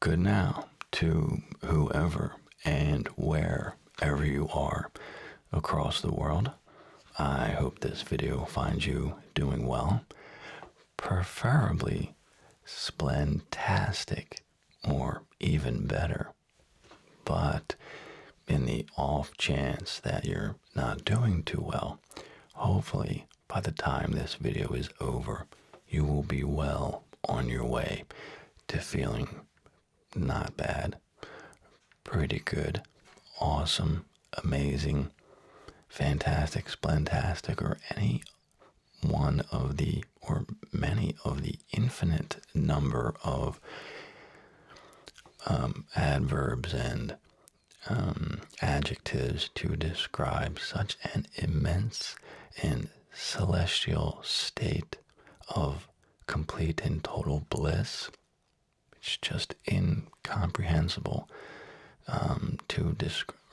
Good now to whoever and wherever you are across the world. I hope this video finds you doing well, preferably splentastic or even better. But in the off chance that you're not doing too well, hopefully by the time this video is over, you will be well on your way to feeling not bad, pretty good, awesome, amazing, fantastic, splentastic, or any one of the or many of the infinite number of um, adverbs and um, adjectives to describe such an immense and celestial state of complete and total bliss. It's just incomprehensible um,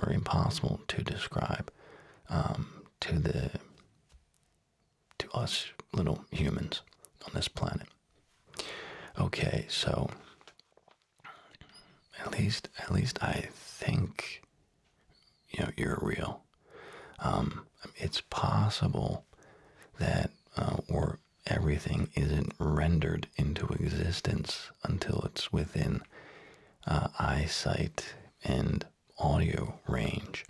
or impossible to describe um, to the to us little humans on this planet. Okay, so at least, at least I think, you know, you're real. Um, it's possible that, uh, or everything isn't rendered into existence until it's within uh, eyesight and audio range.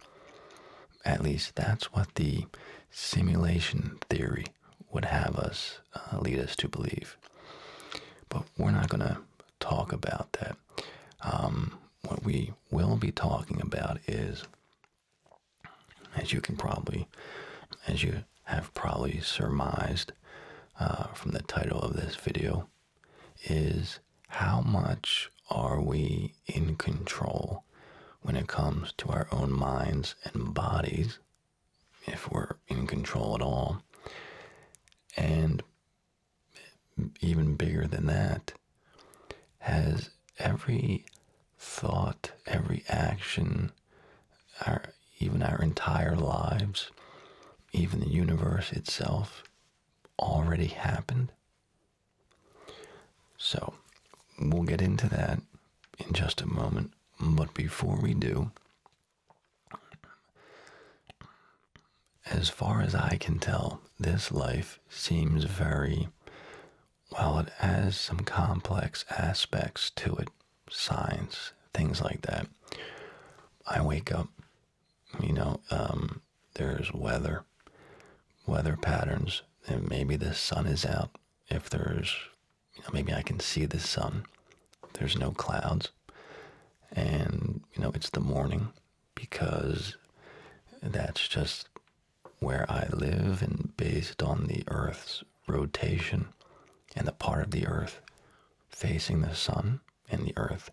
At least that's what the simulation theory would have us uh, lead us to believe. But we're not going to talk about that. Um, what we will be talking about is, as you can probably, as you have probably surmised uh, from the title of this video, is how much are we in control when it comes to our own minds and bodies, if we're in control at all, and even bigger than that, has every thought, every action, our, even our entire lives, even the universe itself, already happened? So, we'll get into that in just a moment. But before we do, as far as I can tell, this life seems very, well, it has some complex aspects to it, science, things like that. I wake up, you know, um, there's weather, weather patterns, and maybe the sun is out. If there's, you know, maybe I can see the sun. There's no clouds and you know it's the morning because that's just where I live and based on the Earth's rotation and the part of the Earth facing the sun and the Earth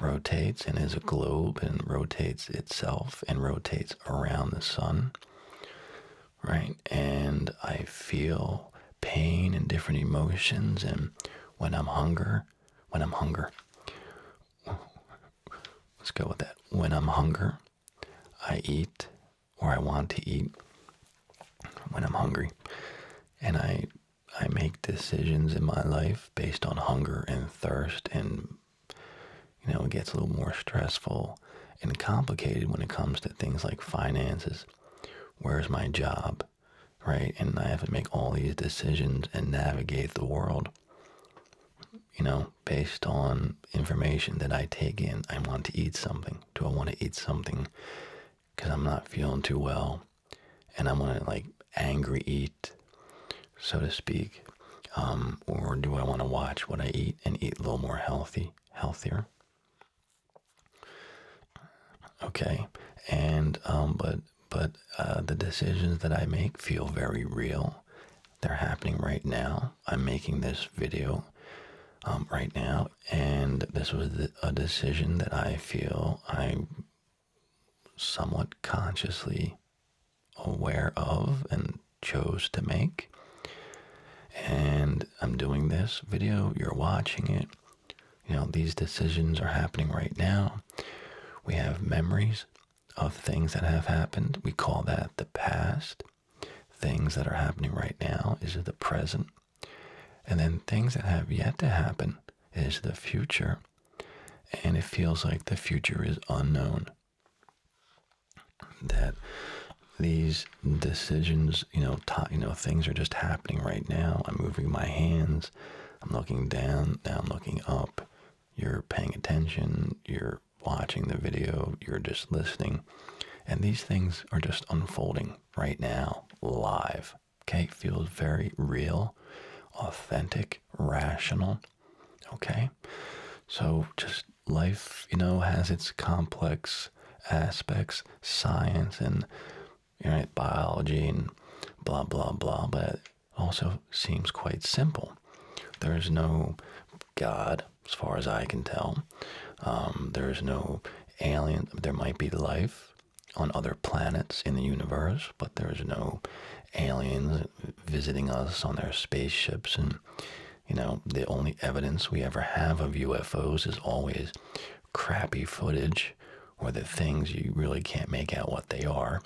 rotates and is a globe and rotates itself and rotates around the sun right and I feel pain and different emotions and when I'm hunger when I'm hunger. Let's go with that. When I'm hunger, I eat or I want to eat when I'm hungry. And I I make decisions in my life based on hunger and thirst and you know, it gets a little more stressful and complicated when it comes to things like finances. Where's my job? right? And I have to make all these decisions and navigate the world, you know, based on information that I take in. I want to eat something. Do I want to eat something because I'm not feeling too well? And I want to, like, angry eat, so to speak. Um, or do I want to watch what I eat and eat a little more healthy, healthier? Okay, and um, but but uh, the decisions that I make feel very real. They're happening right now. I'm making this video um, right now, and this was a decision that I feel I'm somewhat consciously aware of and chose to make. And I'm doing this video, you're watching it, you know, these decisions are happening right now. We have memories of things that have happened. We call that the past. Things that are happening right now is the present. And then things that have yet to happen is the future. And it feels like the future is unknown. That these decisions, you know, you know, things are just happening right now. I'm moving my hands. I'm looking down, now I'm looking up. You're paying attention, you're watching the video, you're just listening. And these things are just unfolding right now, live. Okay, it feels very real, authentic, rational. Okay, so just life, you know, has its complex aspects, science and right? Biology and blah, blah, blah. But it also seems quite simple. There's no God, as far as I can tell. Um, there's no alien. There might be life on other planets in the universe, but there's no aliens visiting us on their spaceships. And, you know, the only evidence we ever have of UFOs is always crappy footage or the things you really can't make out what they are.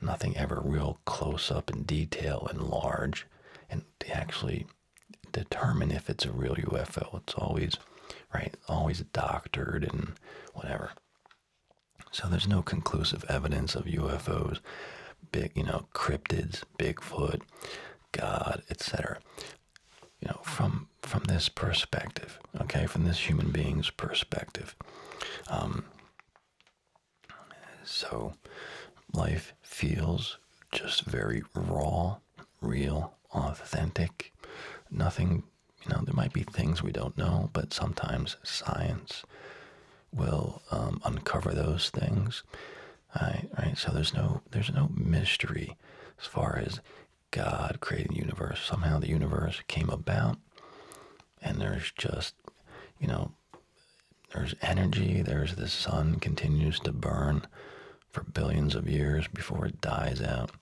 Nothing ever real close up in detail and large and to actually determine if it's a real UFO. It's always, right, always doctored and whatever. So there's no conclusive evidence of UFOs, big, you know, cryptids, Bigfoot, God, etc. You know, from from this perspective, okay, from this human being's perspective. Um, so life feels just very raw, real, authentic. Nothing, you know, there might be things we don't know, but sometimes science will um, uncover those things. Right, all right, so there's no there's no mystery as far as God created the universe. Somehow the universe came about, and there's just, you know, there's energy. There's the sun continues to burn for billions of years before it dies out.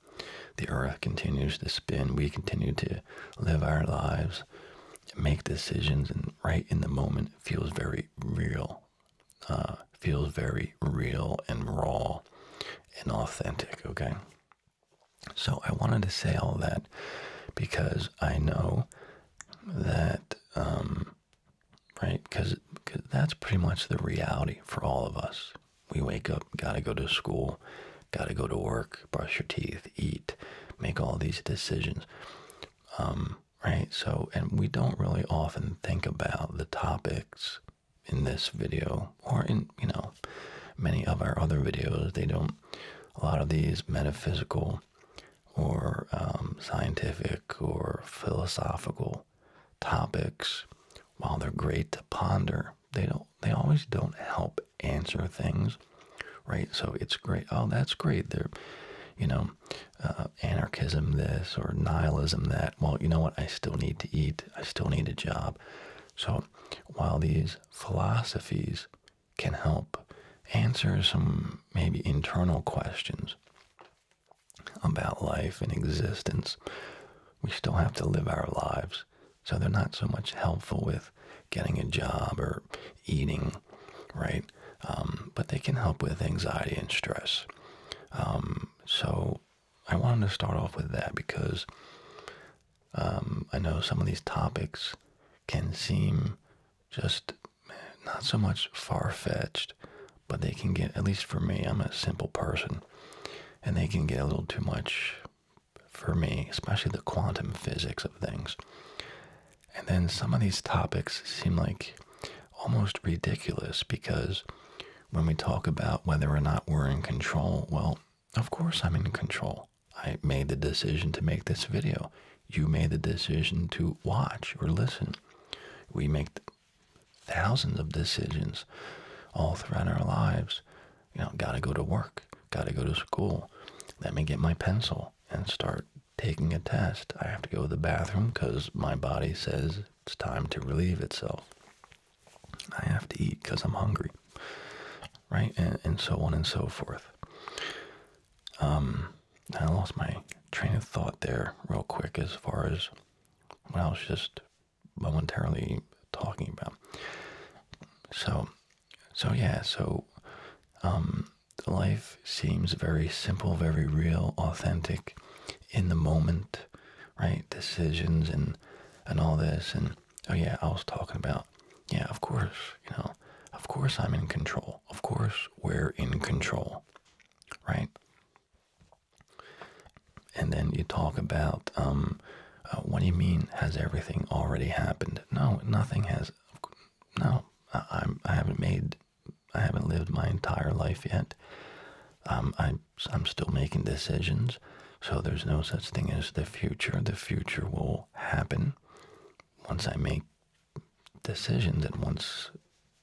The earth continues to spin. We continue to live our lives, make decisions, and right in the moment feels very real. Uh, feels very real and raw and authentic, okay? So I wanted to say all that because I know that, um, right? Because that's pretty much the reality for all of us. We wake up, gotta go to school, gotta go to work, brush your teeth, eat, make all these decisions. Um, right? So, and we don't really often think about the topics in this video or in you know many of our other videos they don't a lot of these metaphysical or um, scientific or philosophical topics while they're great to ponder they don't they always don't help answer things right so it's great oh that's great they're you know uh, anarchism this or nihilism that well you know what i still need to eat i still need a job so while these philosophies can help answer some maybe internal questions about life and existence, we still have to live our lives. So they're not so much helpful with getting a job or eating, right? Um, but they can help with anxiety and stress. Um, so I wanted to start off with that because um, I know some of these topics can seem just not so much far fetched, but they can get, at least for me, I'm a simple person, and they can get a little too much for me, especially the quantum physics of things. And then some of these topics seem like almost ridiculous because when we talk about whether or not we're in control, well, of course, I'm in control. I made the decision to make this video. You made the decision to watch or listen. We make thousands of decisions all throughout our lives. You know, gotta go to work, gotta go to school. Let me get my pencil and start taking a test. I have to go to the bathroom because my body says it's time to relieve itself. I have to eat because I'm hungry, right? And, so on and so forth. Um, I lost my train of thought there real quick as far as what I was just momentarily talking about. So, so yeah, so um, life seems very simple, very real, authentic, in the moment, right? Decisions and and all this and oh yeah, I was talking about, yeah, of course, you know, of course I'm in control. Of course we're in control, right? And then you talk about, um, uh, what do you mean? Has everything already happened? No, nothing has. No, I, I'm, I haven't made, I haven't lived my entire life yet. Um, I, I'm still making decisions. So there's no such thing as the future. The future will happen once I make decisions and once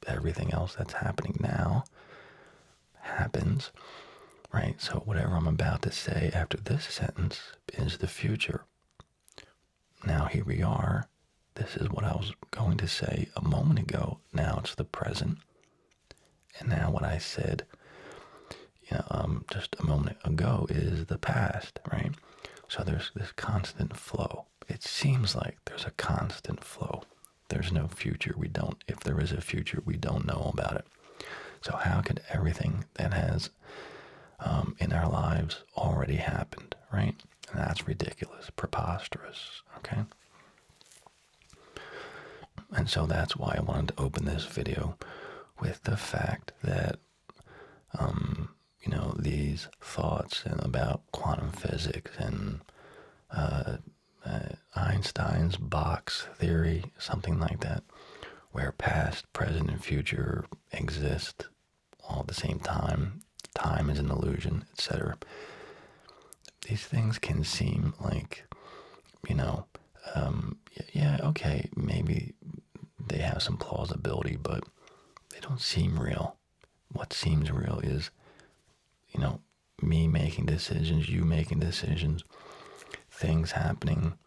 everything else that's happening now happens, right? So whatever I'm about to say after this sentence is the future. Now here we are. This is what I was going to say a moment ago. Now it's the present. And now what I said, you know, um, just a moment ago is the past, right? So there's this constant flow. It seems like there's a constant flow. There's no future. We don't, if there is a future, we don't know about it. So how could everything that has um, in our lives already happened, right? that's ridiculous, preposterous, okay? And so that's why I wanted to open this video with the fact that, um, you know, these thoughts about quantum physics and uh, uh, Einstein's box theory, something like that, where past, present, and future exist all at the same time, time is an illusion, etc. These things can seem like, you know, um, yeah, okay, maybe they have some plausibility, but they don't seem real. What seems real is, you know, me making decisions, you making decisions, things happening,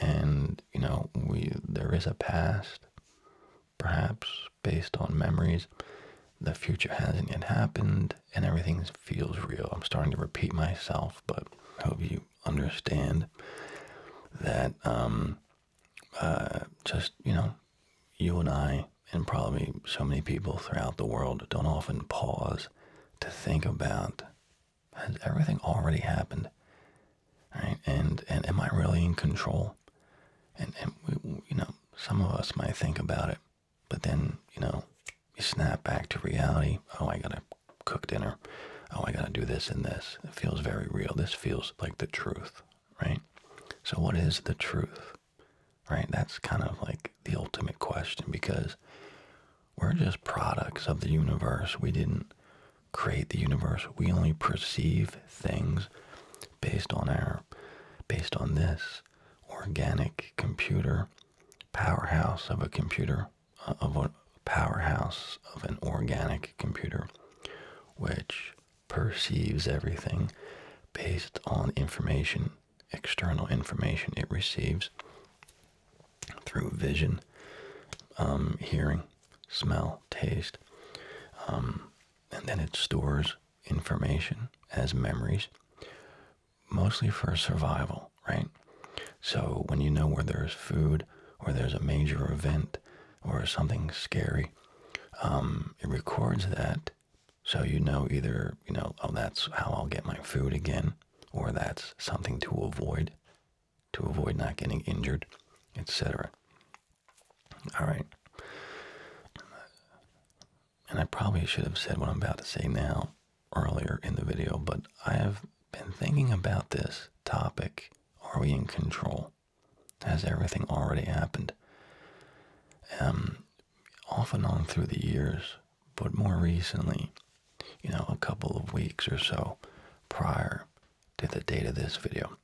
and you know, we there is a past, perhaps based on memories. The future hasn't yet happened, and everything feels real. I'm starting to repeat myself, but I hope you understand that um, uh, just, you know, you and I, and probably so many people throughout the world, don't often pause to think about has everything already happened? Right? And, and am I really in control? And, and you know, some of us might think about it, but then, you know, you snap back to reality. Oh, I got to cook dinner. Oh, I gotta do this and this. It feels very real. This feels like the truth, right? So, what is the truth, right? That's kind of like the ultimate question because we're just products of the universe. We didn't create the universe. We only perceive things based on our, based on this organic computer powerhouse of a computer of a powerhouse of an organic computer which perceives everything based on information, external information it receives through vision, um, hearing, smell, taste. Um, and then it stores information as memories, mostly for survival right? So when you know where there's food or there's a major event or something scary, um, it records that so you know either, you know, oh, that's how I'll get my food again, or that's something to avoid, to avoid not getting injured, etc. All right. And I probably should have said what I'm about to say now, earlier in the video, but I have been thinking about this topic. Are we in control? Has everything already happened? Um, off and on through the years, but more recently, you know, a couple of weeks or so prior to the date of this video.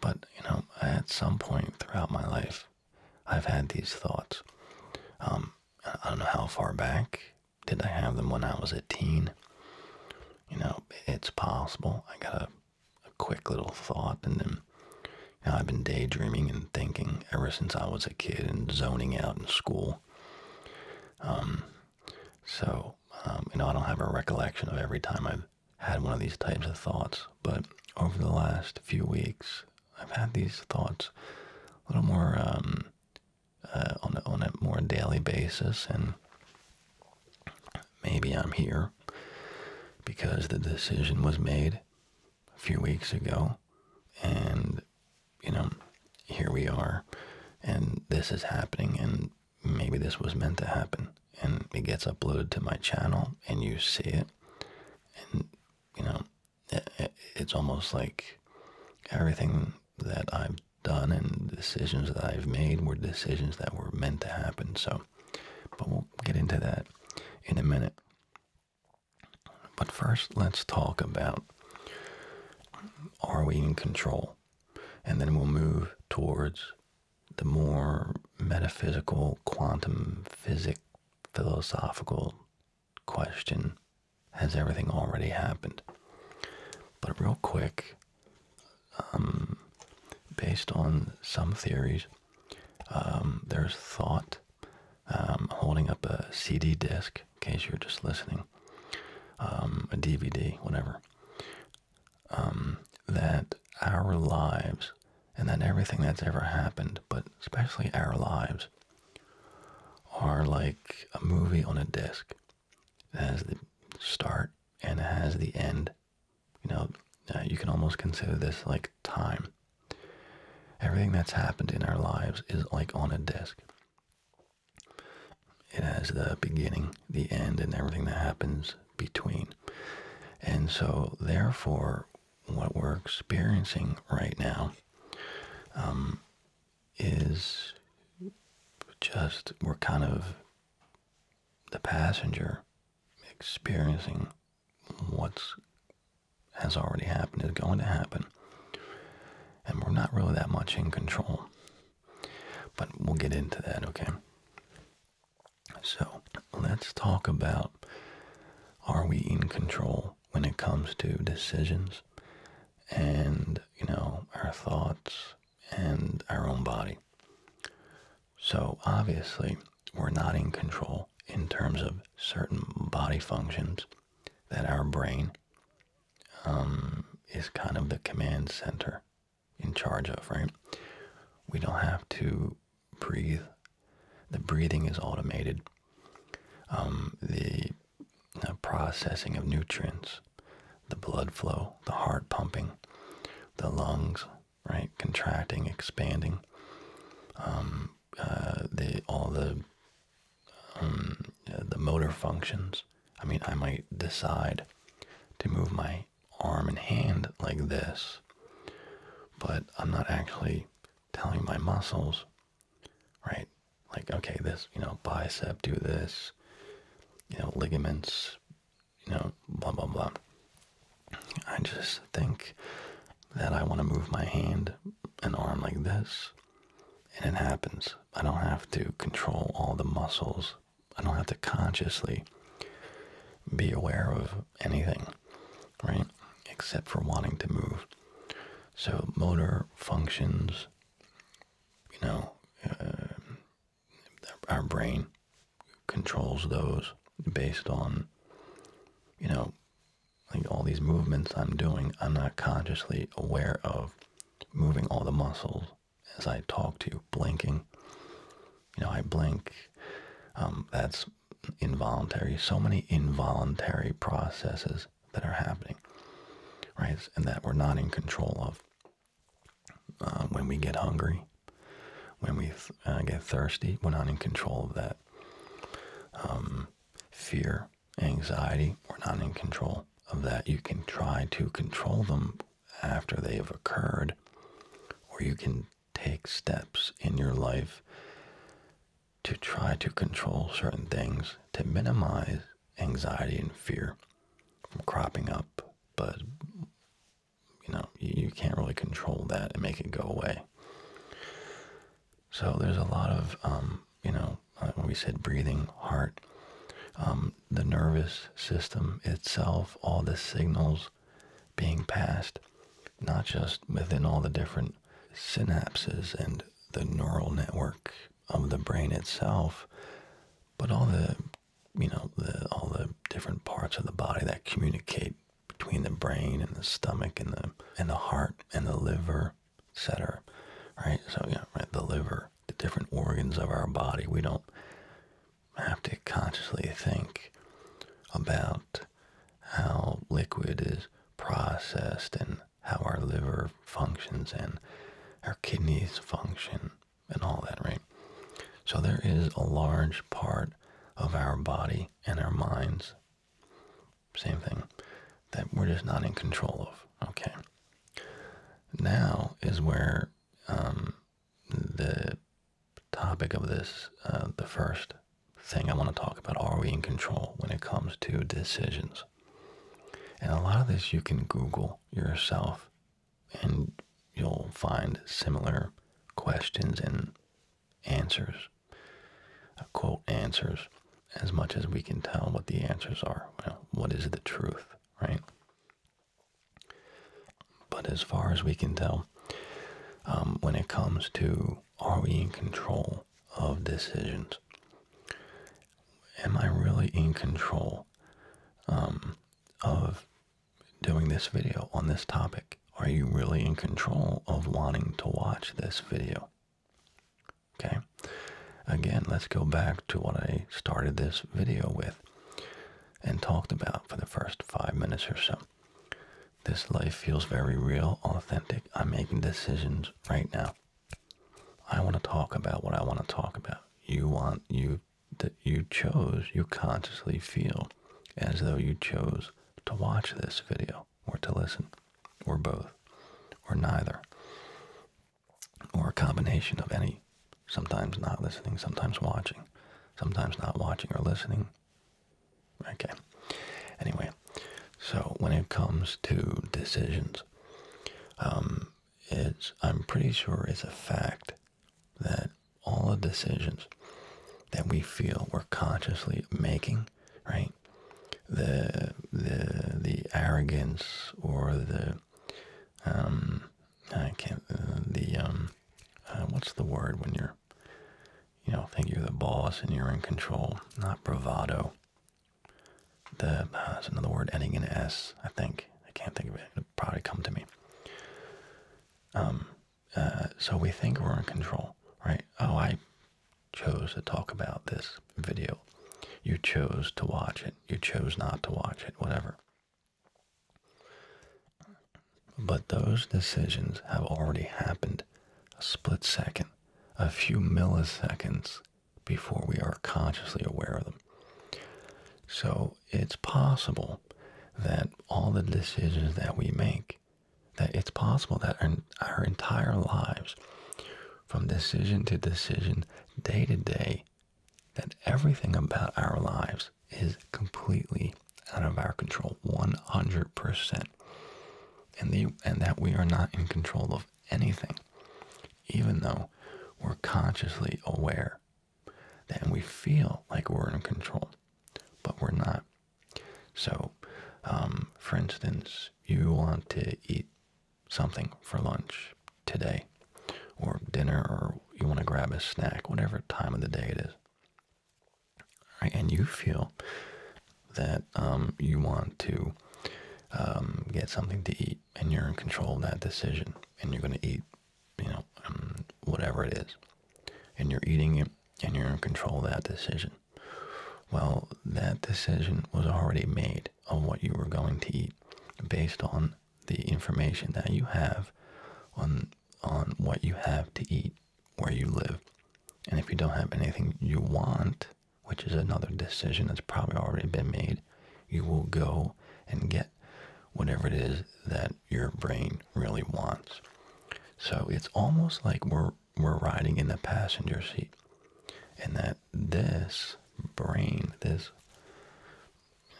But, you know, at some point throughout my life, I've had these thoughts. Um, I don't know how far back did I have them when I was a teen? You know, it's possible. I got a, quick little thought, and then you I've been daydreaming and thinking ever since I was a kid and zoning out in school. Um, so, um, you know, I don't have a recollection of every time I've had one of these types of thoughts, but over the last few weeks, I've had these thoughts a little more um, uh, on a, on a more daily basis, and maybe I'm here because the decision was made a few weeks ago, and you know, here we are, and this is happening, and maybe this was meant to happen, and it gets uploaded to my channel, and you see it, and you know, it's almost like everything that I've done and decisions that I've made were decisions that were meant to happen. So, but we'll get into that in a minute. But first, let's talk about are we in control? And then we'll move towards the more metaphysical, quantum physic, philosophical question has everything already happened? But real quick, um, based on some theories, um, there's thought um, holding up a CD disc, in case you're just listening, a DVD, whatever, that our lives and that everything that's ever happened, but especially our lives, are like a movie on a disc has the start and has the end. You know, uh, you can almost consider this like time. Everything that's happened in our lives is like on a disc. It has the beginning, the end, and everything that happens between. And so, therefore, what we're experiencing right now um, is just we're kind of the passenger experiencing what's has already happened is going to happen and we're not really that much in control but we'll get into that okay so let's talk about are we in control when it comes to decisions and you know our thoughts and our own body. So obviously, we're not in control in terms of certain body functions that our brain um, is kind of the command center in charge of, right? We don't have to breathe. The breathing is automated. Um, the the processing of nutrients, the blood flow, the heart pumping, the lungs, right, contracting, expanding, um, uh, the all the um, the motor functions. I mean, I might decide to move my arm and hand like this, but I'm not actually telling my muscles, right, like okay this you know bicep do this you know ligaments you know blah blah blah i just think that i want to move my hand and arm like this and it happens i don't have to control all the muscles i don't have to consciously be aware of anything right except for wanting to move so motor functions you know uh, our brain controls those based on, you know, like all these movements I'm doing, I'm not consciously aware of moving all the muscles as I talk to you, blinking. You know, I blink. Um, that's involuntary. So many involuntary processes that are happening, right? And that we're not in control of. Uh, when we get hungry, when we uh, get thirsty, we're not in control of that. Um, fear, anxiety, we're not in control of that. You can try to control them after they have occurred, or you can take steps in your life to try to control certain things to minimize anxiety and fear from cropping up, but you know, you, can't really control that and make it go away. So there's a lot of, um, you know, uh, we said breathing, heart, um, the nervous system itself, all the signals being passed, not just within all the different synapses and the neural network of the brain itself, but all the you know, all the different parts of the body that communicate between the brain and the stomach and the and the heart and the liver, cetera, Right? So yeah, right, the liver, the different organs of our body. We don't have to consciously think about how liquid is processed and how our liver functions and our kidneys function and all that, right? So there is a large part of our body and our minds, same thing, that we're just not in control of, okay? Now is where um, the topic of this, uh, the first thing I want to talk about, are we in control when it comes to decisions? And a lot of this you can Google yourself and you'll find similar questions and answers, uh, quote answers, as much as we can tell what the answers are. Well, what is the truth, right? But as far as we can tell, um, when it comes to are we in control of decisions? Am I really in control? Um, of doing this video on this topic? Are you really in control of wanting to watch this video? Okay, again, let's go back to what I started this video with and talked about for the first five minutes or so. This life feels very real, authentic. I'm making decisions right now. I want to talk about what I want to talk about. You want you that you chose, you consciously feel as though you chose to watch this video or to listen or both or neither or a combination of any, sometimes not listening, sometimes watching, sometimes not watching or listening. Okay. Anyway, so when it comes to decisions, um, it's I'm pretty sure it's a fact that all the decisions that we feel we're consciously making, right? The the the arrogance or the um I can't uh, the um uh, what's the word when you're you know think you're the boss and you're in control, not bravado. The uh, another word ending in s, I think. I can't think of it. It'll probably come to me. Um, uh, so we think we're in control, right? Oh, I chose to talk about this video. You chose to watch it. You chose not to watch it, whatever. But those decisions have already happened a split second, a few milliseconds before we are consciously aware of them. So it's possible that all the decisions that we make, that it's possible that our, entire lives, from decision to decision, day to day, that everything about our lives is completely out of our control, 100%. and that we are not in control of anything, even though we're consciously aware then we feel like we're in control, but we're not. So, um, for instance, you want to eat something for lunch today or dinner, or you want to grab a snack, whatever time of the day it is. And you feel that um, you want to um, get something to eat and you're in control of that decision and you're going to eat you know, um, whatever it is, and you're eating it and you're in control of that decision. Well, that decision was already made on what you were going to eat based on the information that you have on on what you have to eat where you live. And if you don't have anything you want, which is another decision that's probably already been made, you will go and get whatever it is that your brain really wants. So it's almost like we're we're riding in the passenger seat, and that this brain, this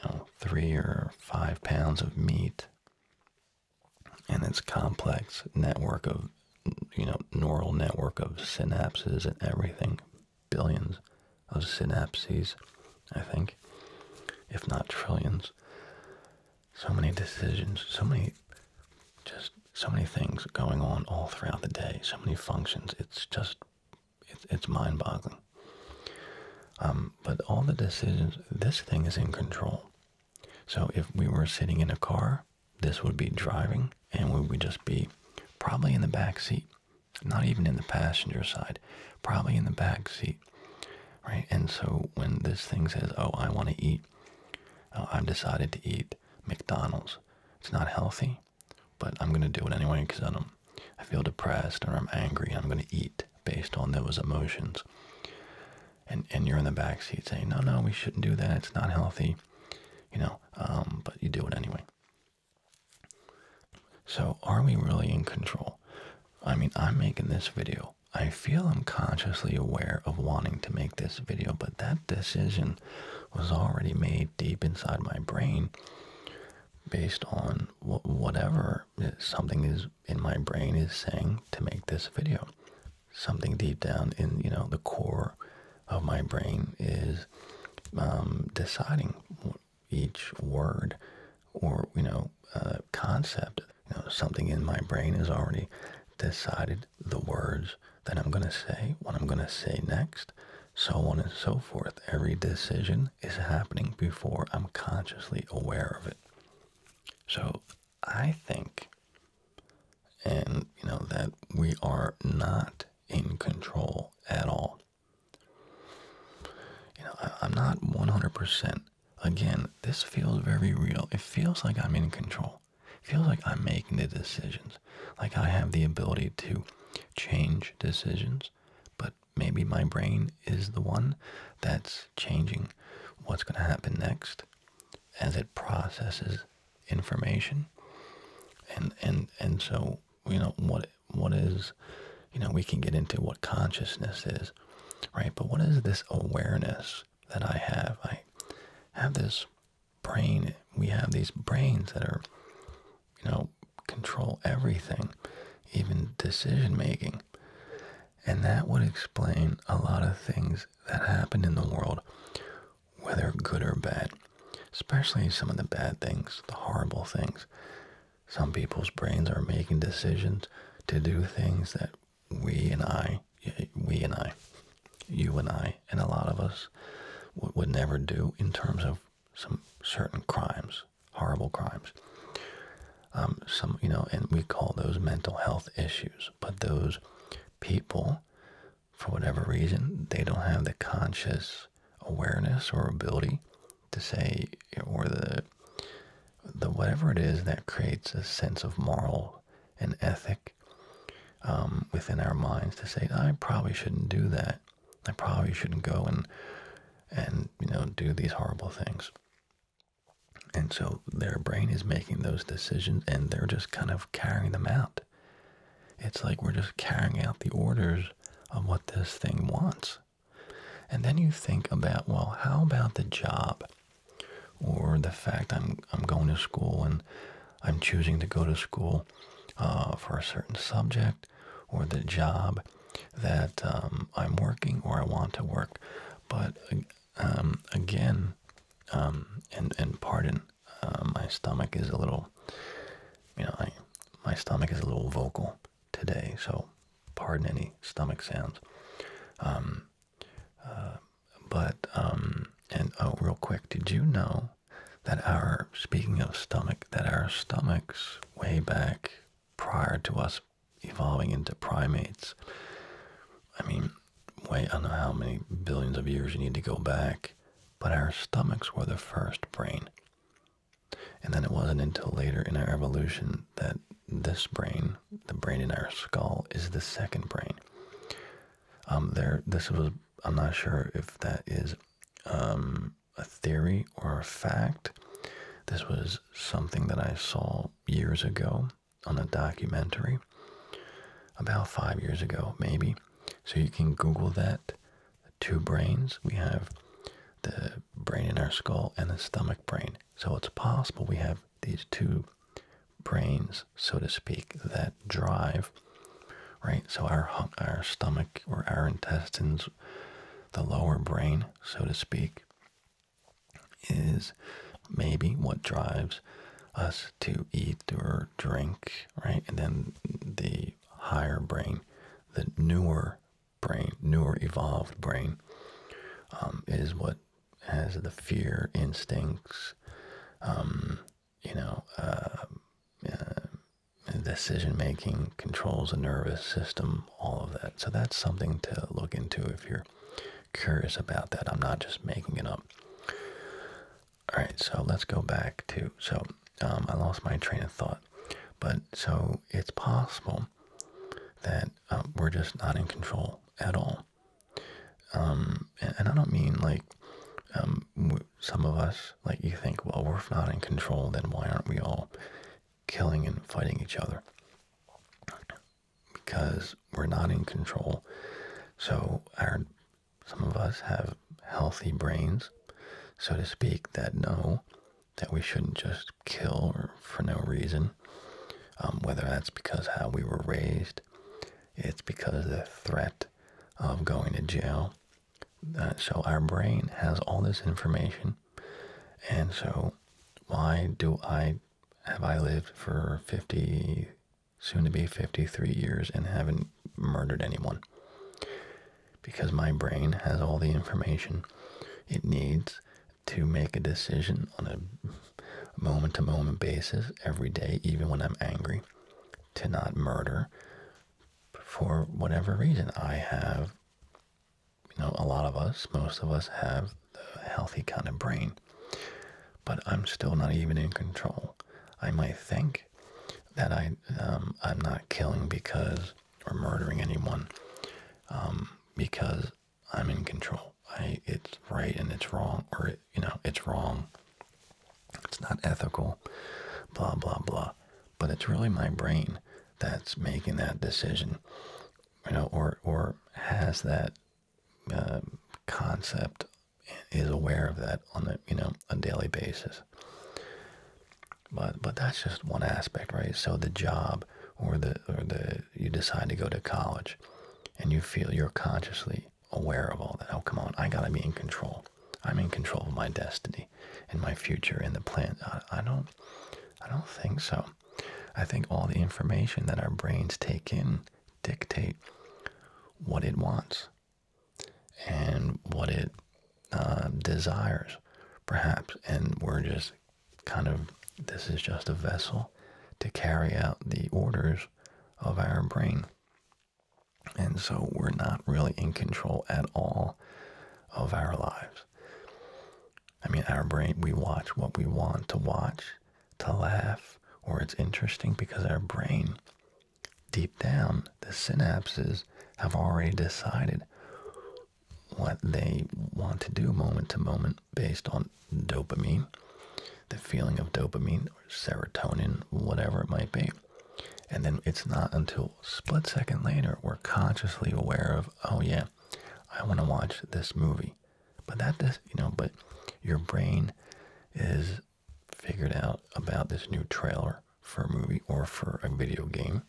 you know, three or five pounds of meat, and its complex network of you know neural network of synapses and everything billions of synapses, I think, if not trillions. So many decisions, so many, just so many things going on all throughout the day, so many functions. It's just, it's, mind boggling. Um, but all the decisions, this thing is in control. So if we were sitting in a car, this would be driving and we would just be probably in the back seat not even in the passenger side, probably in the back seat, right? And so when this thing says, "Oh, I want to eat," uh, I've decided to eat McDonald's. It's not healthy, but I'm gonna do it anyway because I do I feel depressed or I'm angry. I'm gonna eat based on those emotions. And and you're in the back seat saying, "No, no, we shouldn't do that. It's not healthy," you know. Um, but you do it anyway. So, are we really in control? I mean, I'm making this video. I feel I'm consciously aware of wanting to make this video, but that decision was already made deep inside my brain based on whatever something is in my brain is saying to make this video. Something deep down in, you know, the core of my brain is um, deciding each word or you know uh, concept. You know, something in my brain has already decided the words that I'm going to say, what I'm going to say next, so on and so forth. Every decision is happening before I'm consciously aware of it. So I think, and you know, that we are not in control at all. You know, I, am not 100%. Again, this feels very real. It feels like I'm in control. It feels like I'm making the decisions. Like I have the ability to change decisions, but maybe my brain is the one that's changing what's going to happen next as it processes information. And and and so, you know, what what is, you know, we can get into what consciousness is, right? But what is this awareness that I have? I have this brain. We have these brains that are, you know, control everything, even decision making. And that would explain a lot of things that happen in the world, whether good or bad, especially some of the bad things, the horrible things. Some people's brains are making decisions to do things that we and I, we and I, you and I, and a lot of us would never do in terms of some certain crimes, horrible crimes. Um, some, you know, and we call those mental health issues. But those people, for whatever reason, they don't have the conscious awareness or ability to say or the the whatever it is that creates a sense of moral and ethic um, within our minds to say I probably shouldn't do that. I probably shouldn't go and and you know do these horrible things. And so their brain is making those decisions and they're just kind of carrying them out. It's like we're just carrying out the orders of what this thing wants. And then you think about, well, how about the job or the fact I'm, I'm going to school and I'm choosing to go to school uh, for a certain subject or the job that um, I'm working or I want to work. But um, again, um, and, and pardon, uh, my stomach is a little, you know, I, my stomach is a little vocal today, so pardon any stomach sounds. Um, uh, but, um, and oh, real quick, did you know that our, speaking of stomach, that our stomachs way back prior to us evolving into primates, I mean, wait, I don't know how many billions of years you need to go back, but our stomachs were the first brain. And then it wasn't until later in our evolution that this brain, the brain in our skull, is the second brain. Um, there, this was, I'm not sure if that is um, a theory or a fact. This was something that I saw years ago on a documentary, about five years ago, maybe. So you can Google that. Two brains. We have the brain in our skull and the stomach brain. So it's possible we have these two brains, so to speak, that drive, right? So our our stomach or our intestines, the lower brain, so to speak, is maybe what drives us to eat or drink, right? And then the higher brain, the newer brain, newer evolved brain, um, is what has the fear instincts, um, you know, uh, uh, decision making, controls the nervous system, all of that. So that's something to look into if you're curious about that. I'm not just making it up. All right, so let's go back to so um, I lost my train of thought, but so it's possible that um, we're just not in control at all. Um, and, I don't mean like um, some of us, like you think, well, we're not in control, then why aren't we all killing and fighting each other? Because we're not in control. So our, some of us have healthy brains, so to speak, that know that we shouldn't just kill for no reason. Um, whether that's because how we were raised, it's because the threat of going to jail. Uh, so our brain has all this information, and so why do I have I lived for fifty, soon to be fifty-three years and haven't murdered anyone? Because my brain has all the information it needs to make a decision on a moment to moment basis every day, even when I'm angry, to not murder for whatever reason. I have, you know, a lot of us, most of us have the healthy kind of brain, but I'm still not even in control. I might think that I, um, I'm not killing because or murdering anyone. Um, because I'm in control. I it's right and it's wrong, or you know it's wrong. It's not ethical. Blah blah blah. But it's really my brain that's making that decision, you know, or or has that uh, concept is aware of that on a you know a daily basis. But but that's just one aspect, right? So the job or the or the you decide to go to college, and you feel you're consciously aware of all that. Oh come on, I gotta be in control. I'm in control of my destiny and my future and the plan. I, don't I don't think so. I think all the information that our brains take in dictate what it wants and what it uh, desires, perhaps, and we're just kind of this is just a vessel to carry out the orders of our brain. And so we're not really in control at all of our lives. I mean, our brain, we watch what we want to watch, to laugh, or it's interesting because our brain, deep down, the synapses have already decided what they want to do moment to moment based on dopamine, the feeling of dopamine or serotonin, whatever it might be. And then it's not until split second later we're consciously aware of, oh yeah, I want to watch this movie. But that does, you know, but your brain is figured out about this new trailer for a movie or for a video game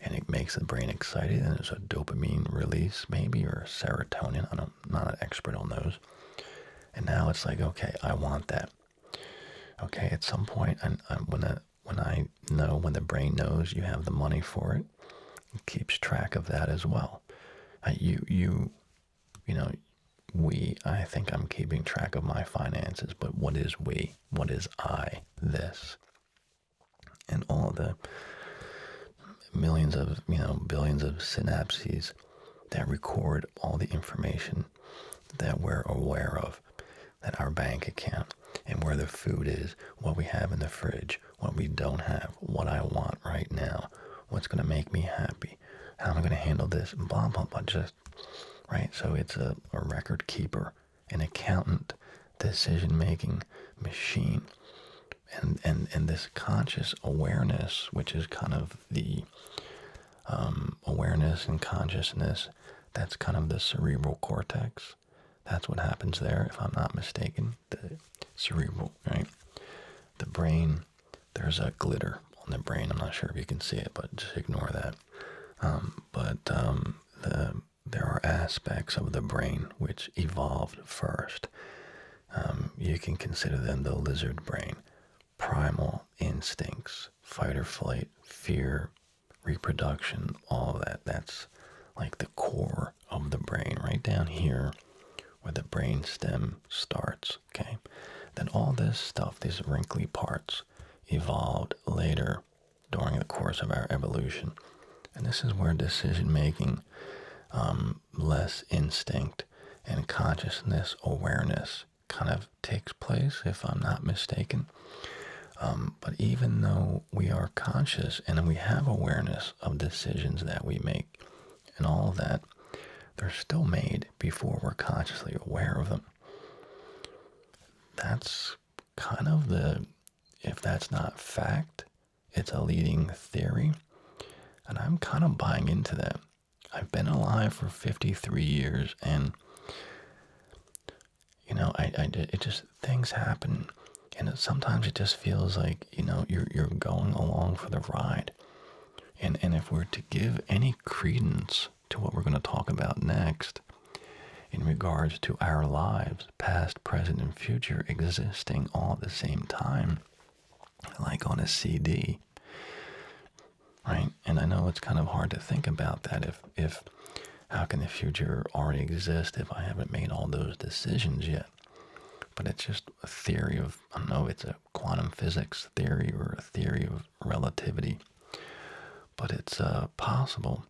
and it makes the brain excited and there's a dopamine release maybe or serotonin. I am not an expert on those. And now it's like, okay, I want that. Okay, at some point, and when I, when I know, when the brain knows you have the money for it, keeps track of that as well. Uh, you, you, you know, we, I think I'm keeping track of my finances, but what is we? What is I? This and all the millions of you know billions of synapses that record all the information that we're aware of that our bank account and where the food is what we have in the fridge what we don't have what i want right now what's going to make me happy how i'm going to handle this blah blah blah just right so it's a, a record keeper an accountant decision-making machine. And, and, and this conscious awareness, which is kind of the um, awareness and consciousness, that's kind of the cerebral cortex. That's what happens there, if I'm not mistaken. The cerebral, right? The brain, there's a glitter on the brain. I'm not sure if you can see it, but just ignore that. Um, but um, the there are aspects of the brain which evolved first. Um, you can consider them the lizard brain, primal instincts, fight or flight, fear, reproduction, all of that. That's like the core of the brain, right down here where the brain stem starts, okay? Then all this stuff, these wrinkly parts, evolved later during the course of our evolution. And this is where decision making, um, less instinct and consciousness awareness kind of takes place, if I'm not mistaken. Um, but even though we are conscious and we have awareness of decisions that we make and all of that, they're still made before we're consciously aware of them. That's kind of the if that's not fact, it's a leading theory. And I'm kind of buying into that. I've been alive for 53 years and you know, I, I it just things happen and sometimes it just feels like, you know, you're you're going along for the ride. And and if we're to give any credence to what we're going to talk about next in regards to our lives, past, present, and future, existing all at the same time, like on a CD. Right? And I know it's kind of hard to think about that if, if how can the future already exist if I haven't made all those decisions yet? But it's just a theory of, I don't know, it's a quantum physics theory or a theory of relativity. But it's uh, possible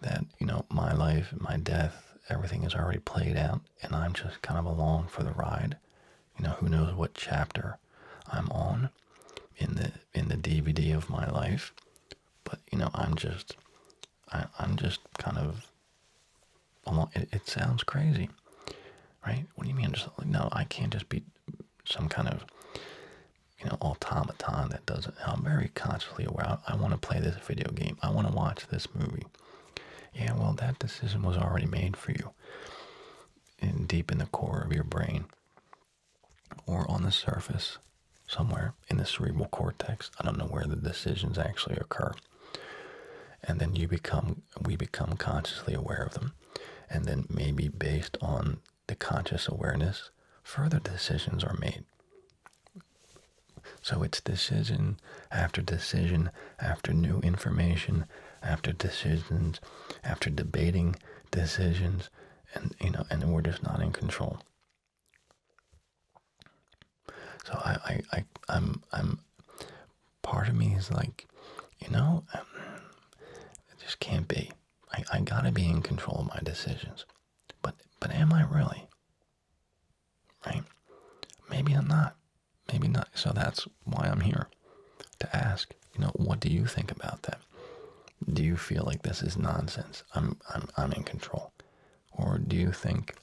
that you know my life my death everything is already played out and i'm just kind of along for the ride you know who knows what chapter i'm on in the in the dvd of my life but you know i'm just I, am just kind of along it, sounds crazy right what do you mean just no i can't just be some kind of you know automaton that doesn't i'm very consciously aware I want to play this video game i want to watch this movie. Yeah, well, that decision was already made for you. and deep in the core of your brain. Or on the surface, somewhere in the cerebral cortex. I don't know where the decisions actually occur. And then you become, we become consciously aware of them. And then maybe based on the conscious awareness, further decisions are made. So it's decision after decision after new information after decisions after debating decisions and you know and we're just not in control. So I, I, I am I'm part of me is like, you know, um, it just can't be. I, I gotta be in control of my decisions. But but am I really? Right? Maybe I'm not. Maybe not. So that's why I'm here to ask, you know, what do you think about that? Do you feel like this is nonsense? I'm I'm I'm in control. Or do you think,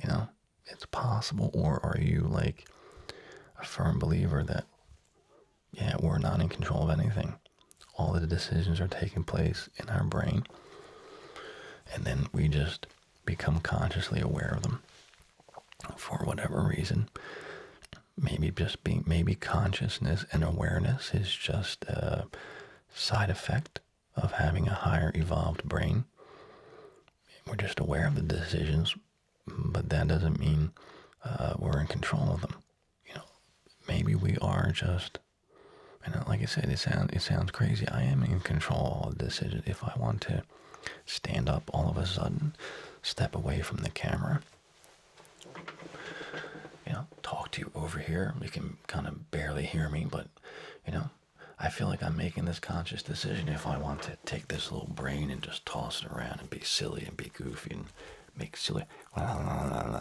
you know, it's possible or are you like a firm believer that yeah, we're not in control of anything. All the decisions are taking place in our brain. And then we just become consciously aware of them for whatever reason. Maybe just being, maybe consciousness and awareness is just a side effect of having a higher evolved brain. We're just aware of the decisions, but that doesn't mean uh, we're in control of them. You know, maybe we are just and uh, like I said, it sound it sounds crazy. I am in control of this. If I want to stand up all of a sudden, step away from the camera, you know, talk to you over here. You can kind of barely hear me, but you know, I feel like I'm making this conscious decision if I want to take this little brain and just toss it around and be silly and be goofy and make silly. I'm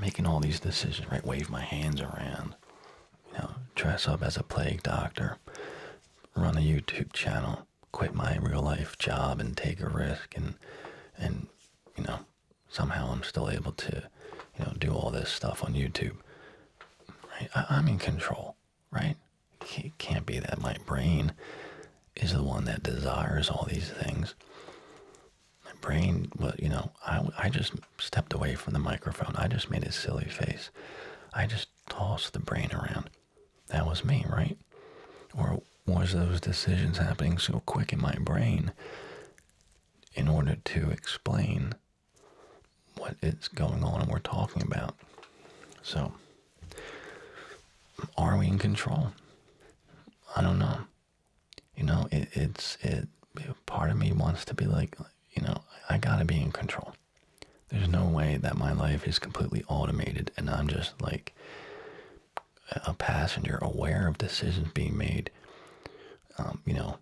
making all these decisions, right? Wave my hands around you know, dress up as a plague doctor, run a YouTube channel, quit my real life job and take a risk and and you know, somehow I'm still able to, you know, do all this stuff on YouTube. Right? I, am in control, right? It can't be that my brain is the one that desires all these things. My brain, well, you know, I, I just stepped away from the microphone. I just made a silly face. I just tossed the brain around. That was me, right? Or was those decisions happening so quick in my brain in order to explain what is going on and we're talking about? So, are we in control? I don't know. You know, it, it's it. Part of me wants to be like, you know, I, gotta be in control. There's no way that my life is completely automated and I'm just like a passenger aware of decisions being made, um, you know,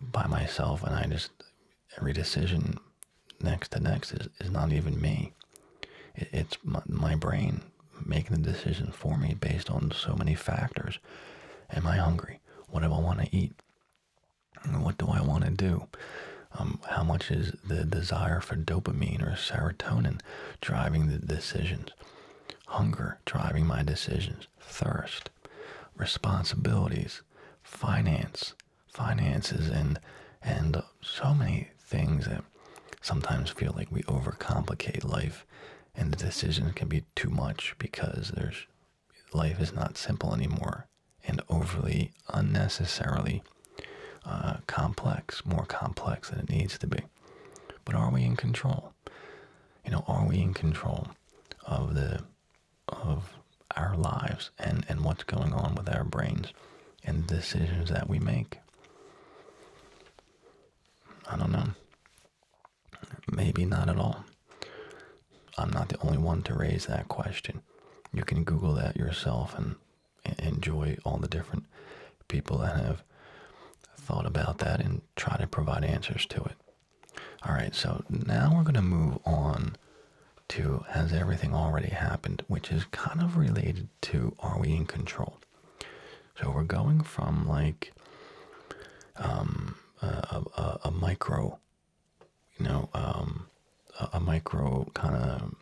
by myself. And I just, every decision next to next is, is not even me. it's my brain making the decision for me based on so many factors. Am I hungry? What do I want to eat? What do I want to do? Um, how much is the desire for dopamine or serotonin driving the decisions? Hunger driving my decisions. Thirst, responsibilities, finance, finances, and and so many things that sometimes feel like we overcomplicate life, and the decisions can be too much because there's life is not simple anymore and overly unnecessarily uh, complex, more complex than it needs to be. But are we in control? You know, are we in control of the of our lives and and what's going on with our brains and the decisions that we make? I don't know. Maybe not at all. I'm not the only one to raise that question. You can Google that yourself and enjoy all the different people that have thought about that and try to provide answers to it. All right, so now we're going to move on to has everything already happened, which is kind of related to are we in control? So we're going from like um, uh, a, micro, you know, um, a, micro kind of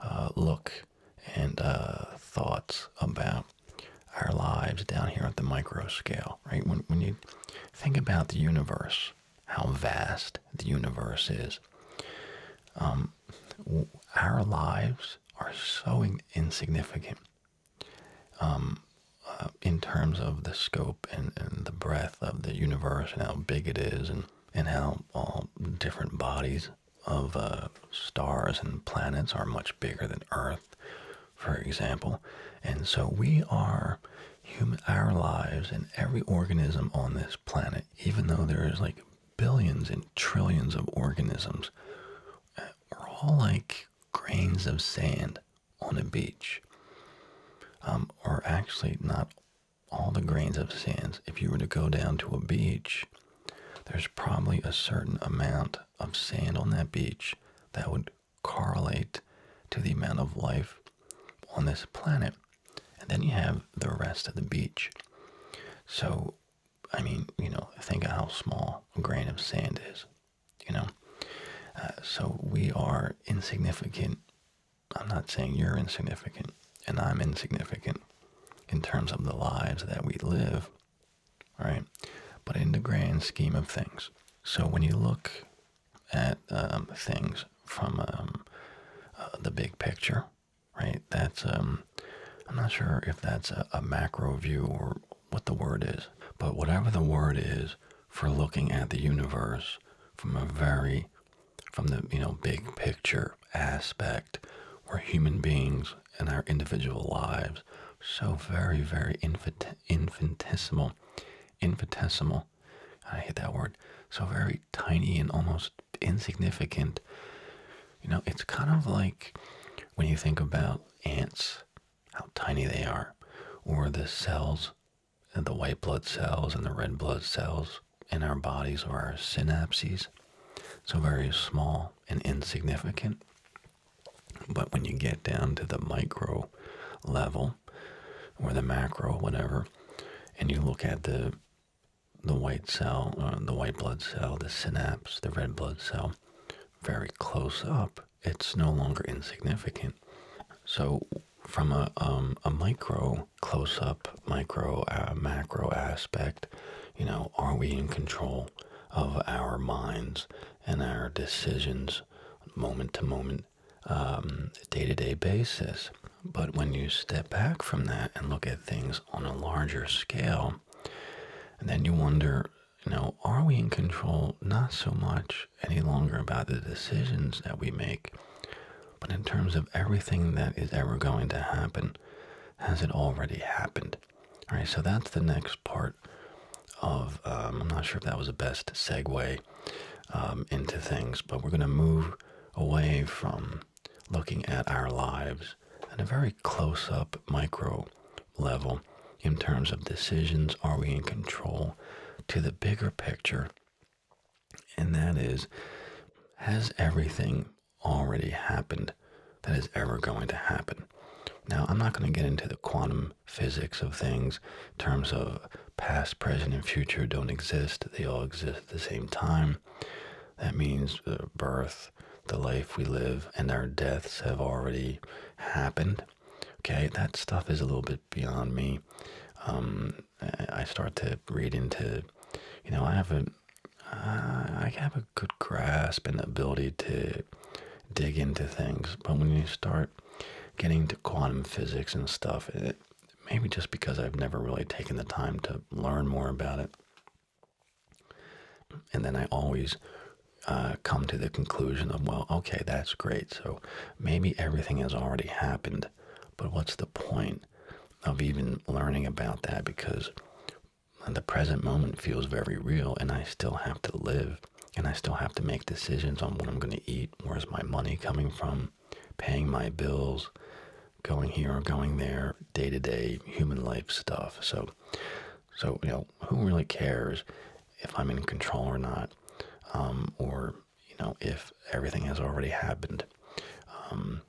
uh, look and uh, thoughts about our lives down here at the micro scale, right? When, when you think about the universe, how vast the universe is, um, our lives are so insignificant um, uh, in terms of the scope and, and the breadth of the universe and how big it is and, and how all different bodies of uh, stars and planets are much bigger than Earth, for example. And so we are human, our lives and every organism on this planet, even though there is like billions and trillions of organisms, uh, we're all like grains of sand on a beach um, or actually not all the grains of sand. if you were to go down to a beach there's probably a certain amount of sand on that beach that would correlate to the amount of life on this planet and then you have the rest of the beach so i mean you know think of how small a grain of sand is you know uh, so we are insignificant i'm not saying you're insignificant and i'm insignificant in terms of the lives that we live right but in the grand scheme of things so when you look at um, things from um, uh, the big picture right that's um, i'm not sure if that's a macro view or what the word is, but whatever the word is for looking at the universe from a very, from the, you know, big picture aspect where human beings and our individual lives so very, very infinitesimal, infinitesimal, I hate that word, so very tiny and almost insignificant. You know, it's kind of like when you think about ants, how tiny they are, or the cells and the white blood cells and the red blood cells in our bodies are our synapses. So very small and insignificant. But when you get down to the micro level or the macro, whatever, and you look at the the white cell, uh, the white blood cell, the synapse, the red blood cell, very close up, it's no longer insignificant. So, from a, um, a micro close up, micro uh, macro aspect, you know, are we in control of our minds and our decisions moment to moment, day to day basis? But when you step back from that and look at things on a larger scale, and then you wonder, you know, are we in control not so much any longer about the decisions that we make, but in terms of everything that is ever going to happen, has it already happened? All right, so that's the next part of, um, I'm not sure if that was the best segue um, into things, but we're going to move away from looking at our lives at a very close up micro level in terms of decisions? Are we in control to the bigger picture? And that is, has everything already happened that is ever going to happen? Now, I'm not going to get into the quantum physics of things terms of past, present, and future don't exist. They all exist at the same time. That means birth, the life we live, and our deaths have already happened. Okay, that stuff is a little bit beyond me. Um, I start to read into, you know, I have a, I have a good grasp and ability to dig into things, but when you start getting to quantum physics and stuff, maybe just because I've never really taken the time to learn more about it, and then I always uh, come to the conclusion of, well, okay, that's great. So Maybe everything has already happened, but what's the point of even learning about that? Because the present moment feels very real, and I still have to live, and I still have to make decisions on what I'm going to eat, where's my money coming from, paying my bills, going here or going there, day to day human life stuff. So, so you know, who really cares if I'm in control or not, um, or you know, if everything has already happened, um,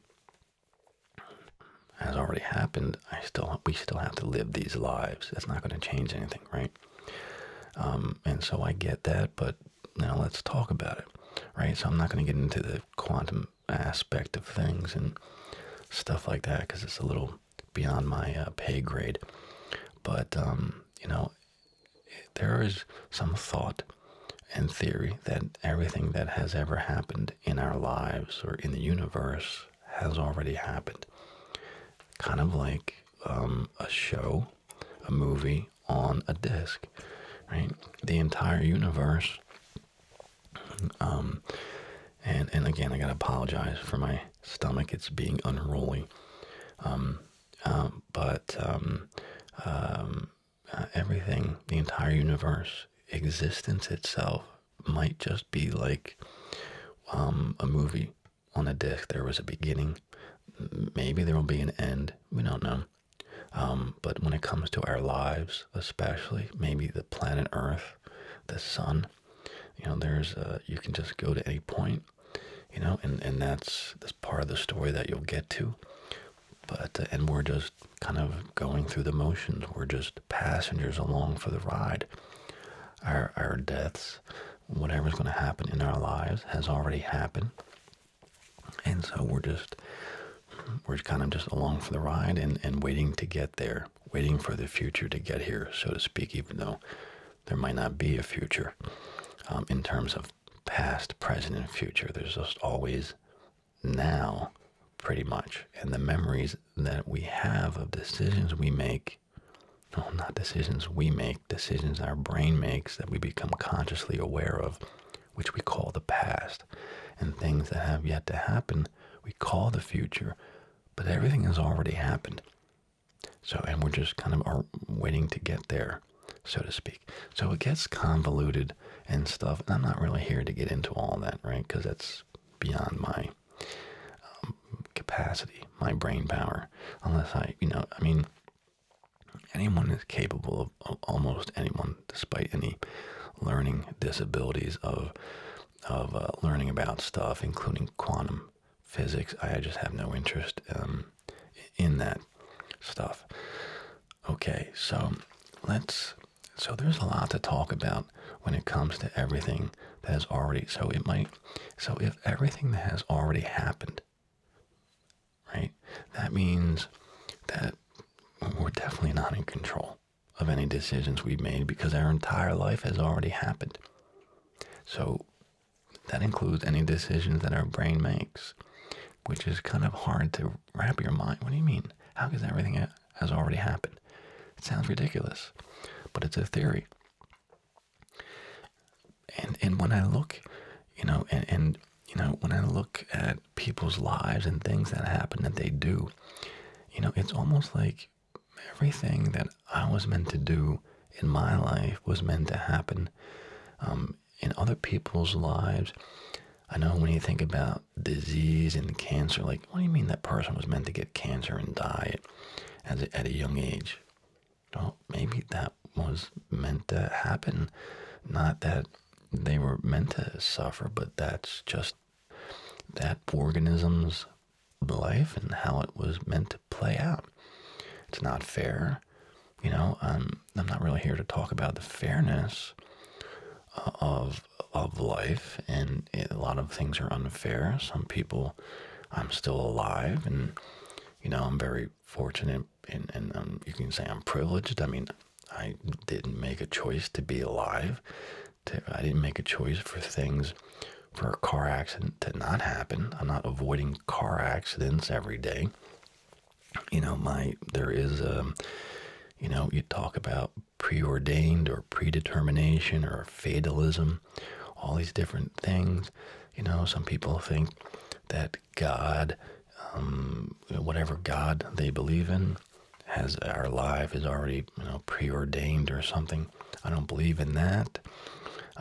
has already happened, I still we still have to live these lives. It's not going to change anything, right? Um, and so I get that, but now let's talk about it, right? So I'm not going to get into the quantum aspect of things and stuff like that because it's a little beyond my uh, pay grade. But um, you know, there is some thought and theory that everything that has ever happened in our lives or in the universe has already happened. Kind of like um, a show, a movie on a disc, right? The entire universe. Um, and and again, I gotta apologize for my stomach. It's being unruly. Um, um, but um, um, uh, everything, the entire universe, existence itself might just be like a movie on a disc. There was a beginning. Maybe there will be an end. We don't know. but when it comes to our lives, especially maybe the planet Earth, the sun, you know, there's you can just go to any point you know and and that's that's part of the story that you'll get to but uh, and we're just kind of going through the motions we're just passengers along for the ride our our deaths whatever's going to happen in our lives has already happened and so we're just we're kind of just along for the ride and and waiting to get there waiting for the future to get here so to speak even though there might not be a future um, in terms of past, present, and future. There's just always now, pretty much. And the memories that we have of decisions we make, no, not decisions we make, decisions our brain makes that we become consciously aware of, which we call the past. And things that have yet to happen, we call the future. But everything has already happened. So, and we're just kind of are waiting to get there, so to speak. So it gets convoluted and stuff. I'm not really here to get into all that, right? Because that's beyond my um, capacity, my brain power. Unless I, you know, I mean, anyone is capable of, almost anyone, despite any learning disabilities of of uh, learning about stuff, including quantum physics. I just have no interest um, in that stuff. Okay, so let's. So there's a lot to talk about when it comes to everything that has already. So it might. So if everything that has already happened, right, that means that we're definitely not in control of any decisions we've made because our entire life has already happened. So that includes any decisions that our brain makes, which is kind of hard to wrap your mind. What do you mean? How could everything has already happened? It sounds ridiculous, but it's a theory. And and when I look, you know, and, and you know, when I look at people's lives and things that happen that they do, you know, it's almost like everything that I was meant to do in my life was meant to happen um, in other people's lives. I know when you think about disease and cancer, like, what do you mean that person was meant to get cancer and die at, at a young age? Well, maybe that was meant to happen. Not that they were meant to suffer, but that's just that organism's life and how it was meant to play out. It's not fair. You know, um, I'm not really here to talk about the fairness uh, of of life, and a lot of things are unfair. Some people, I'm still alive, and you know, I'm very fortunate, and and um, you can say I'm privileged. I mean, I didn't make a choice to be alive. I didn't make a choice for things, for a car accident to not happen. I'm not avoiding car accidents every day you know my there is a, you know you talk about preordained or predetermination or fatalism all these different things you know some people think that god um, whatever god they believe in has our life is already you know preordained or something i don't believe in that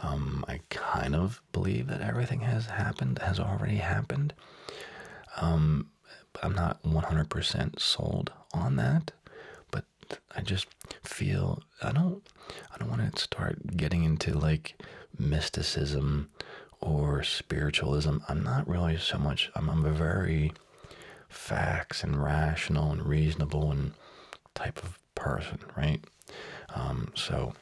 um, i kind of believe that everything has happened, has already happened. Um, I'm not 100% sold on that, but I just feel I don't I don't want to start getting into like mysticism or spiritualism. I'm not really so much. I'm, a very facts and rational and reasonable and type of person, right? Um, so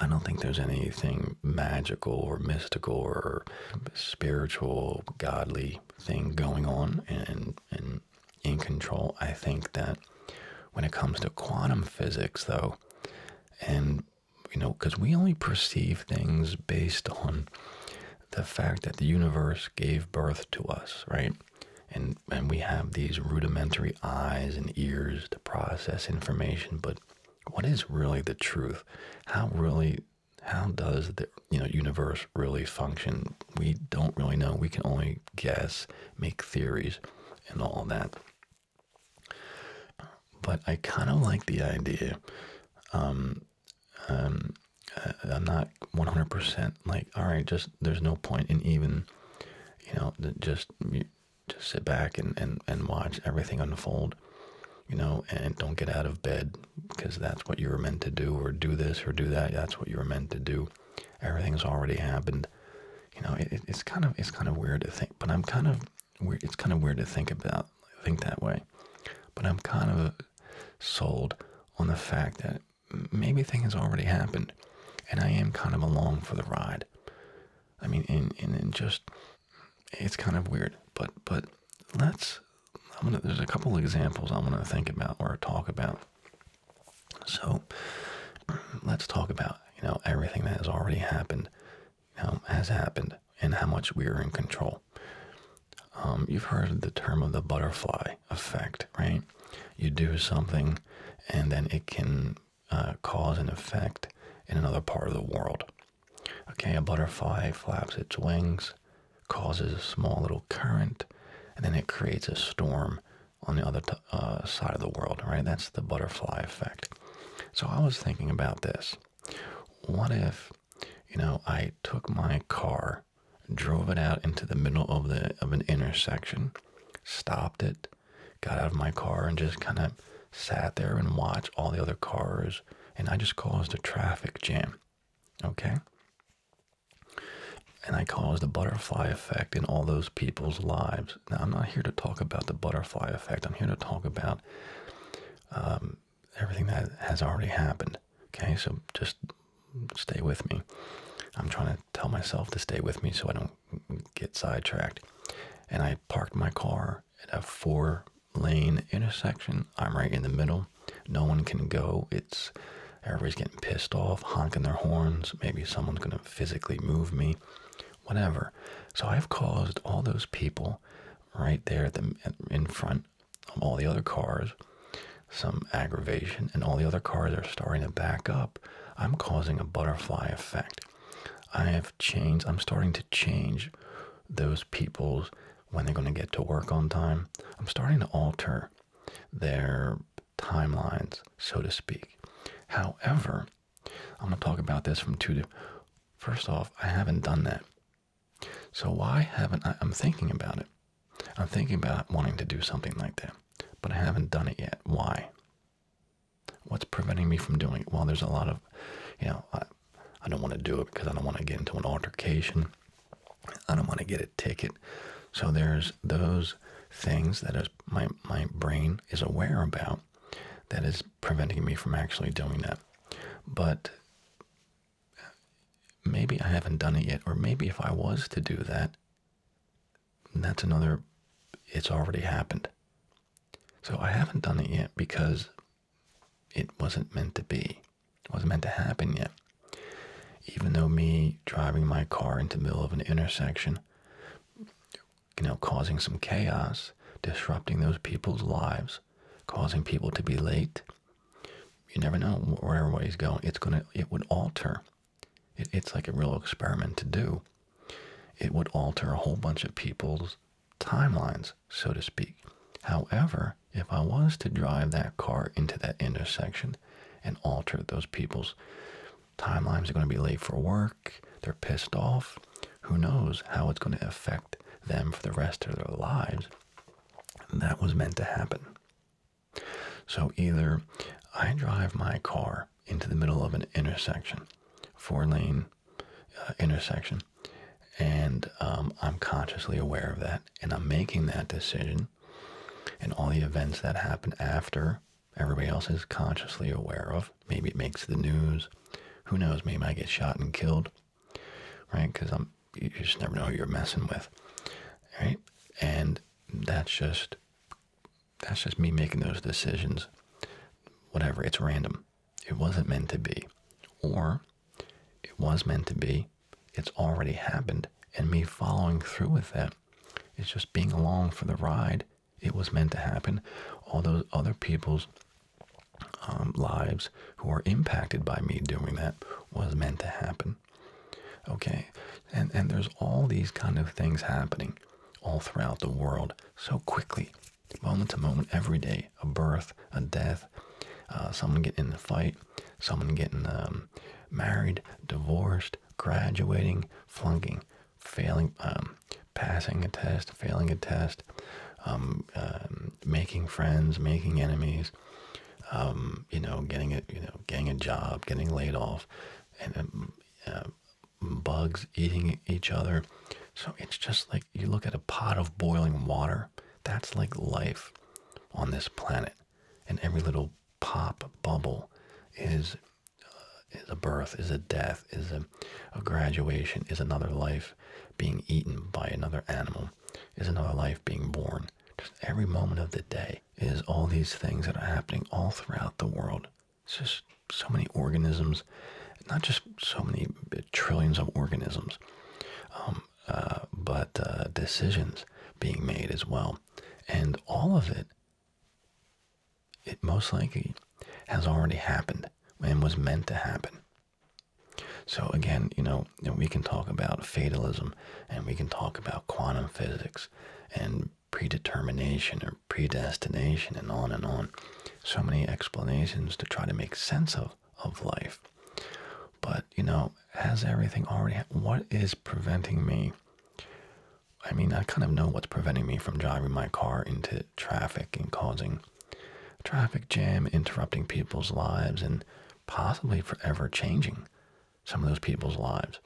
I don't think there's anything magical or mystical or spiritual, godly thing going on and, and in control. I think that when it comes to quantum physics, though, and you know, because we only perceive things based on the fact that the universe gave birth to us, right? And, and we have these rudimentary eyes and ears process information, but what is really the truth? How really, how does the you know universe really function? We don't really know. We can only guess, make theories, and all that. But I kind of like the idea. Um, um, uh, I'm not 100% like, all right, just there's no point in even, you know, just just sit back and, and, and watch everything unfold, you know, and don't get out of bed because that's what you were meant to do, or do this or do that. That's what you were meant to do. Everything's already happened. You know, it's kind of it's kind of weird to think, but I'm kind of weird. It's kind of weird to think about think that way, but I'm kind of sold on the fact that maybe things already happened, and I am kind of along for the ride. I mean, and, and, just, it's kind of weird, but, but let's, I'm gonna, there's a couple examples I am going to think about or talk about. So let's talk about, you know, everything that has already happened, you know, has happened and how much we are in control. Um, you've heard the term of the butterfly effect, right? You do something and then it can uh, cause and effect in another part of the world. Okay, a butterfly flaps its wings, causes a small little current, and then it creates a storm on the other uh, side of the world, right? That's the butterfly effect. So I was thinking about this. What if, you know, I took my car, drove it out into the middle of the of an intersection, stopped it, got out of my car and just kind of sat there and watched all the other cars, and I just caused a traffic jam. Okay? And I caused a butterfly effect in all those people's lives. Now, I'm not here to talk about the butterfly effect, I'm here to talk about um, everything that has already happened. Okay? So just stay with me. I'm trying to tell myself to stay with me so I don't get sidetracked and I parked my car at a four lane intersection. I'm right in the middle. No one can go. It's everybody's getting pissed off, honking their horns. Maybe someone's going to physically move me, whatever. So I've caused all those people right there the, in front of all the other cars some aggravation, and all the other cars are starting to back up. I'm causing a butterfly effect. I have changed, I'm starting to change those people's when they're going to get to work on time. I'm starting to alter their timelines, so to speak. However, I'm going to talk about this from two. First off, I haven't done that. So why haven't I? I'm thinking about it. I'm thinking about wanting to do something like that, but I haven't done it yet. Why? What's preventing me from doing it? Well, there's a lot of, you know, I, don't want to do it because I don't want to get into an altercation. I don't want to get a ticket. So there's those things that my my brain is aware about that is preventing me from actually doing that. But maybe I haven't done it yet, or maybe if I was to do that, that's another. It's already happened. So I haven't done it yet because it wasn't meant to be. It wasn't meant to happen yet. Even though me driving my car into the middle of an intersection, you know, causing some chaos, disrupting those people's lives, causing people to be late, you never know where everybody's going. It's gonna, it would alter. it's like a real experiment to do. It would alter a whole bunch of people's timelines, so to speak. However, if I was to drive that car into that intersection and alter those people's timelines, they're going to be late for work, they're pissed off, who knows how it's going to affect them for the rest of their lives. that was meant to happen. So either I drive my car into the middle of an intersection, four lane uh, intersection. And um, I'm consciously aware of that. And I'm making that decision. And all the events that happen after, everybody else is consciously aware of. Maybe it makes the news. Who knows? Maybe I get shot and killed. Right? Because I'm you just never know who you're messing with. Right? And that's just that's just me making those decisions. Whatever, it's random. It wasn't meant to be. Or it was meant to be, it's already happened, and me following through with that is just being along for the ride. It was meant to happen. All those other people's um, lives who are impacted by me doing that was meant to happen. Okay, and, and there's all these kind of things happening all throughout the world so quickly moment to moment, every day, a birth, a death, uh, someone getting in the fight, someone getting um, married, divorced, graduating, flunking, failing, um, passing a test, failing a test, um, making friends, making enemies, you know, getting a you know, getting a job, getting laid off, and uh, bugs eating each other. So it's just like you look at a pot of boiling water. That's like life on this planet. And every little pop bubble is uh, a birth, is a death, is a, graduation, is another life being eaten by another animal, is another life being born. every moment of the day is all these things that are happening all throughout the world. It's just so many organisms, not just so many trillions of organisms, um, uh, but uh, decisions being made as well. And all of it, it most likely has already happened and was meant to happen. So again, you know, we can talk about fatalism and we can talk about quantum physics and predetermination or predestination and on and on so many explanations to try to make sense of of life. But you know, has everything already? What is preventing me? I mean, I kind of know what's preventing me from driving my car into traffic and causing a traffic jam, interrupting people's lives, and possibly forever changing some of those people's lives.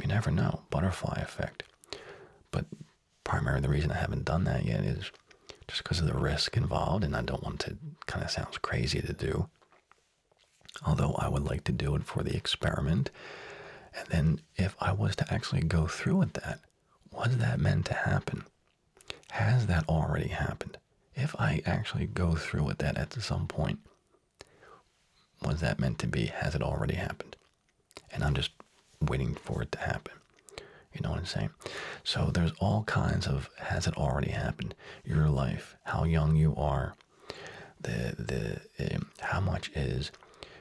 You never know, butterfly effect. But Primarily, the reason I haven't done that yet is just because of the risk involved, and I don't want to kind of sounds crazy to do. Although I would like to do it for the experiment. And then if I was to actually go through with that, was that meant to happen? Has that already happened? If I actually go through with that at some point, was that meant to be? Has it already happened? and I'm just waiting for it to happen. You know what I'm saying? So there's all kinds of has it already happened? Your life, how young you are, the the um, how much is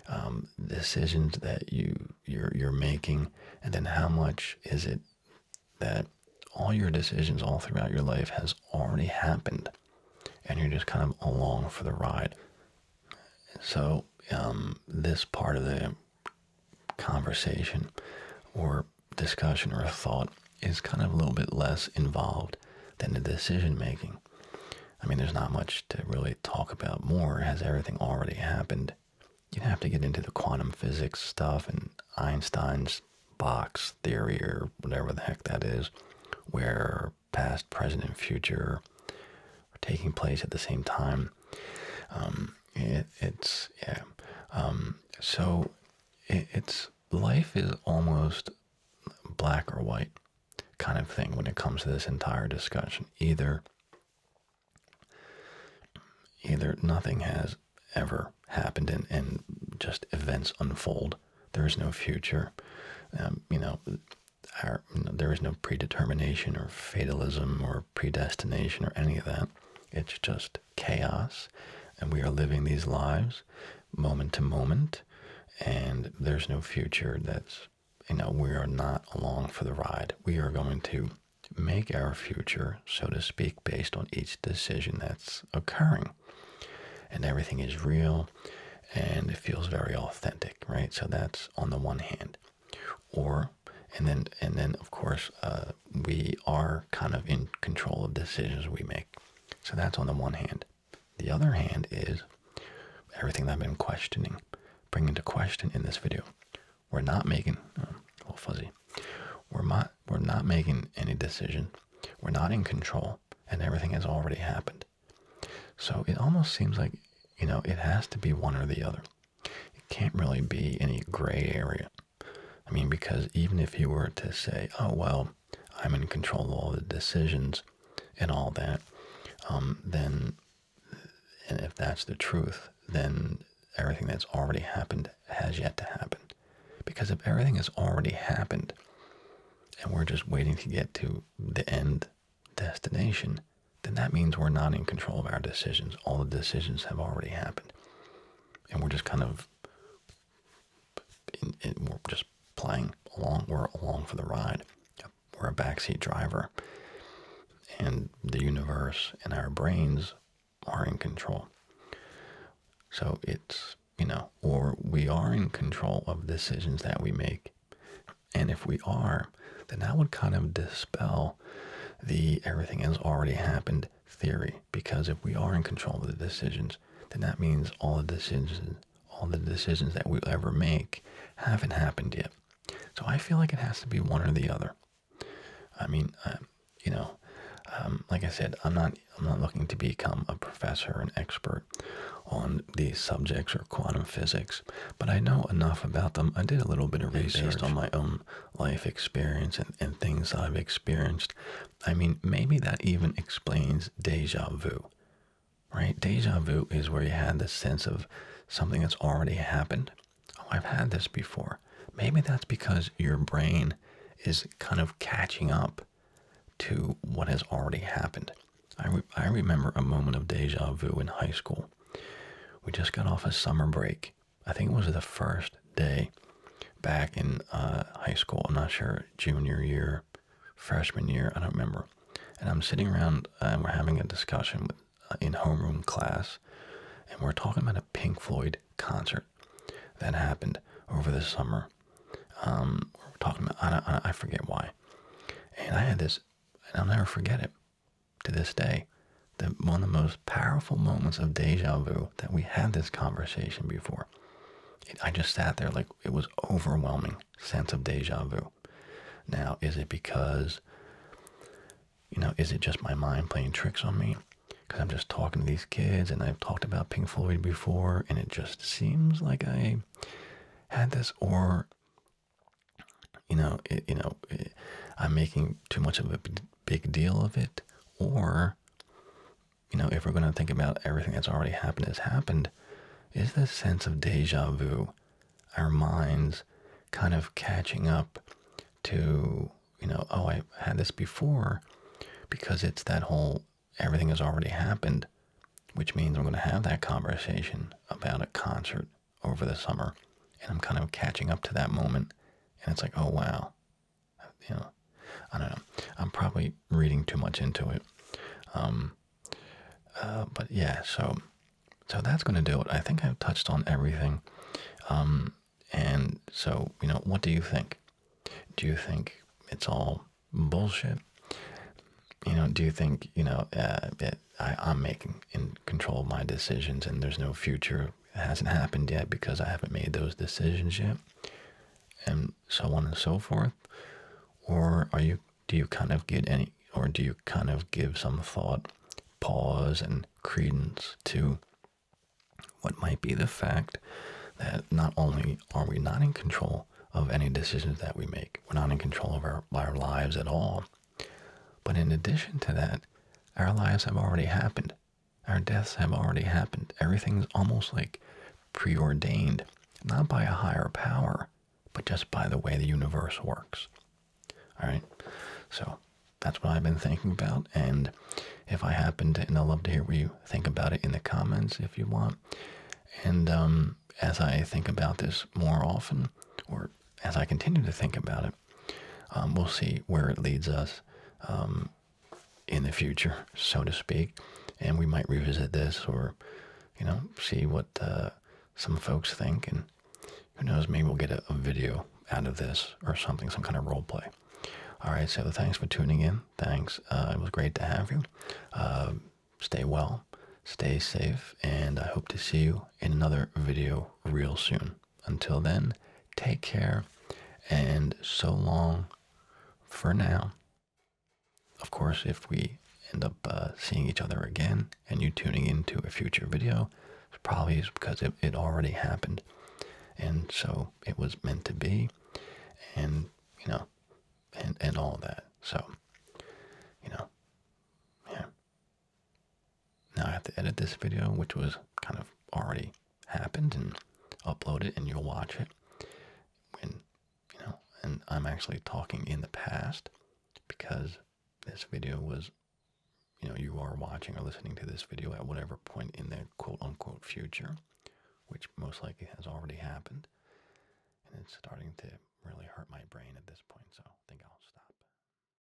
um, decisions that you you're you're making, and then how much is it that all your decisions all throughout your life has already happened, and you're just kind of along for the ride. So um, this part of the conversation or discussion or thought is kind of a little bit less involved than the decision making. I mean, there's not much to really talk about more, has everything already happened? You'd have to get into the quantum physics stuff and Einstein's box theory or whatever the heck that is, where past, present, and future taking place at the same time. Um, it's yeah. Um, so it's life is almost black or white kind of thing when it comes to this entire discussion. Either either nothing has ever happened and, and just events unfold. There is no future. Um, you know, there is no predetermination or fatalism or predestination or any of that. It's just chaos, and we are living these lives moment to moment, and there's no future that's, you know, we are not along for the ride. We are going to make our future, so to speak, based on each decision that's occurring. And everything is real, and it feels very authentic, right? So that's on the one hand. Or and then and then of course uh, we are kind of in control of decisions we make. So that's on the one hand. The other hand is everything that I've been questioning, bringing to question in this video. We're not making uh, a little fuzzy. We're not we're not making any decision. We're not in control, and everything has already happened. So it almost seems like you know it has to be one or the other. It can't really be any gray area. I mean, because even if you were to say, oh, well, I'm in control of all the decisions and all that, um, then, and if that's the truth, then everything that's already happened has yet to happen. Because if everything has already happened and we're just waiting to get to the end destination, then that means we're not in control of our decisions. All the decisions have already happened. And we're just kind of, we're just playing along, we're along for the ride. We're a backseat driver. And the universe and our brains are in control. So it's, you know, or we are in control of decisions that we make. And if we are, then that would kind of dispel the everything has already happened theory. Because if we are in control of the decisions, then that means all the decisions all the decisions that we ever make haven't happened yet. So I feel like it has to be one or the other. I mean, uh, you know, um, like I said, I'm not I'm not looking to become a professor, an expert on these subjects or quantum physics but I know enough about them. I did a little bit of research on my own life experience and, things I've experienced. I mean, maybe that even explains deja vu, right? Deja vu is where you had this sense of something that's already happened. Oh, I've had this before. Maybe that's because your brain is kind of catching up to what has already happened. I, I remember a moment of deja vu in high school we just got off a summer break. I think it was the first day back in uh, high school. I'm not sure, junior year, freshman year, I don't remember. And I'm sitting around and uh, we're having a discussion uh, in homeroom class, and we're talking about a Pink Floyd concert that happened over the summer. Um, we're talking about, I, don't I forget why. And I had this, and I'll never forget it to this day that one of the most powerful moments of deja vu that we had this conversation before. I just sat there like it was overwhelming sense of deja vu. Now, is it because, you know, is it just my mind playing tricks on me? Because I'm just talking to these kids and I've talked about Pink Floyd before and it just seems like I had this or you know, you know, I'm making too much of a big deal of it, or, you know, if we're going to think about everything that's already happened has happened, is this sense of deja vu, our minds kind of catching up to, you know, oh, I had this before, because it's that whole everything has already happened, which means I'm going to have that conversation about a concert over the summer, and I'm kind of catching up to that moment, and it's like, oh wow, you know, I don't know. I'm probably reading too much into it, um, uh, but yeah. So, so that's going to do it. I think I've touched on everything, um, and so you know, what do you think? Do you think it's all bullshit? You know, do you think you know uh, I, am making in control of my decisions, and there's no future. It hasn't happened yet because I haven't made those decisions yet, and so on and so forth. Or are you? Do you kind of get any? Or do you kind of give some thought, pause, and credence to what might be the fact that not only are we not in control of any decisions that we make, we're not in control of our lives at all, but in addition to that, our lives have already happened. Our deaths have already happened. Everything's almost like preordained, not by a higher power, but just by the way the universe works. All right? So that's what I've been thinking about. And if I happen to, and i would love to hear what you think about it in the comments if you want. And um, as I think about this more often, or as I continue to think about it, um, we'll see where it leads us um, in the future, so to speak. And we might revisit this or, you know, see what uh, some folks think. And who knows, maybe we'll get a, video out of this or something, some kind of role play. All right, so thanks for tuning in. Thanks. Uh, it was great to have you. Um, stay well, stay safe, and I hope to see you in another video real soon until then, take care and so long for now. Of course, if we end up uh, seeing each other again and you tuning into a future video, it probably is because it, it already happened. And so it was meant to be and, you know, and, and all that. So, you know, yeah, now I have to edit this video, which was kind of already happened, and upload it, and you'll watch it. When you know, and I'm actually talking in the past because this video was, you know, you are watching or listening to this video at whatever point in the quote unquote future, which most likely has already happened. And it's starting to really hurt my brain at this point, so I think I'll stop.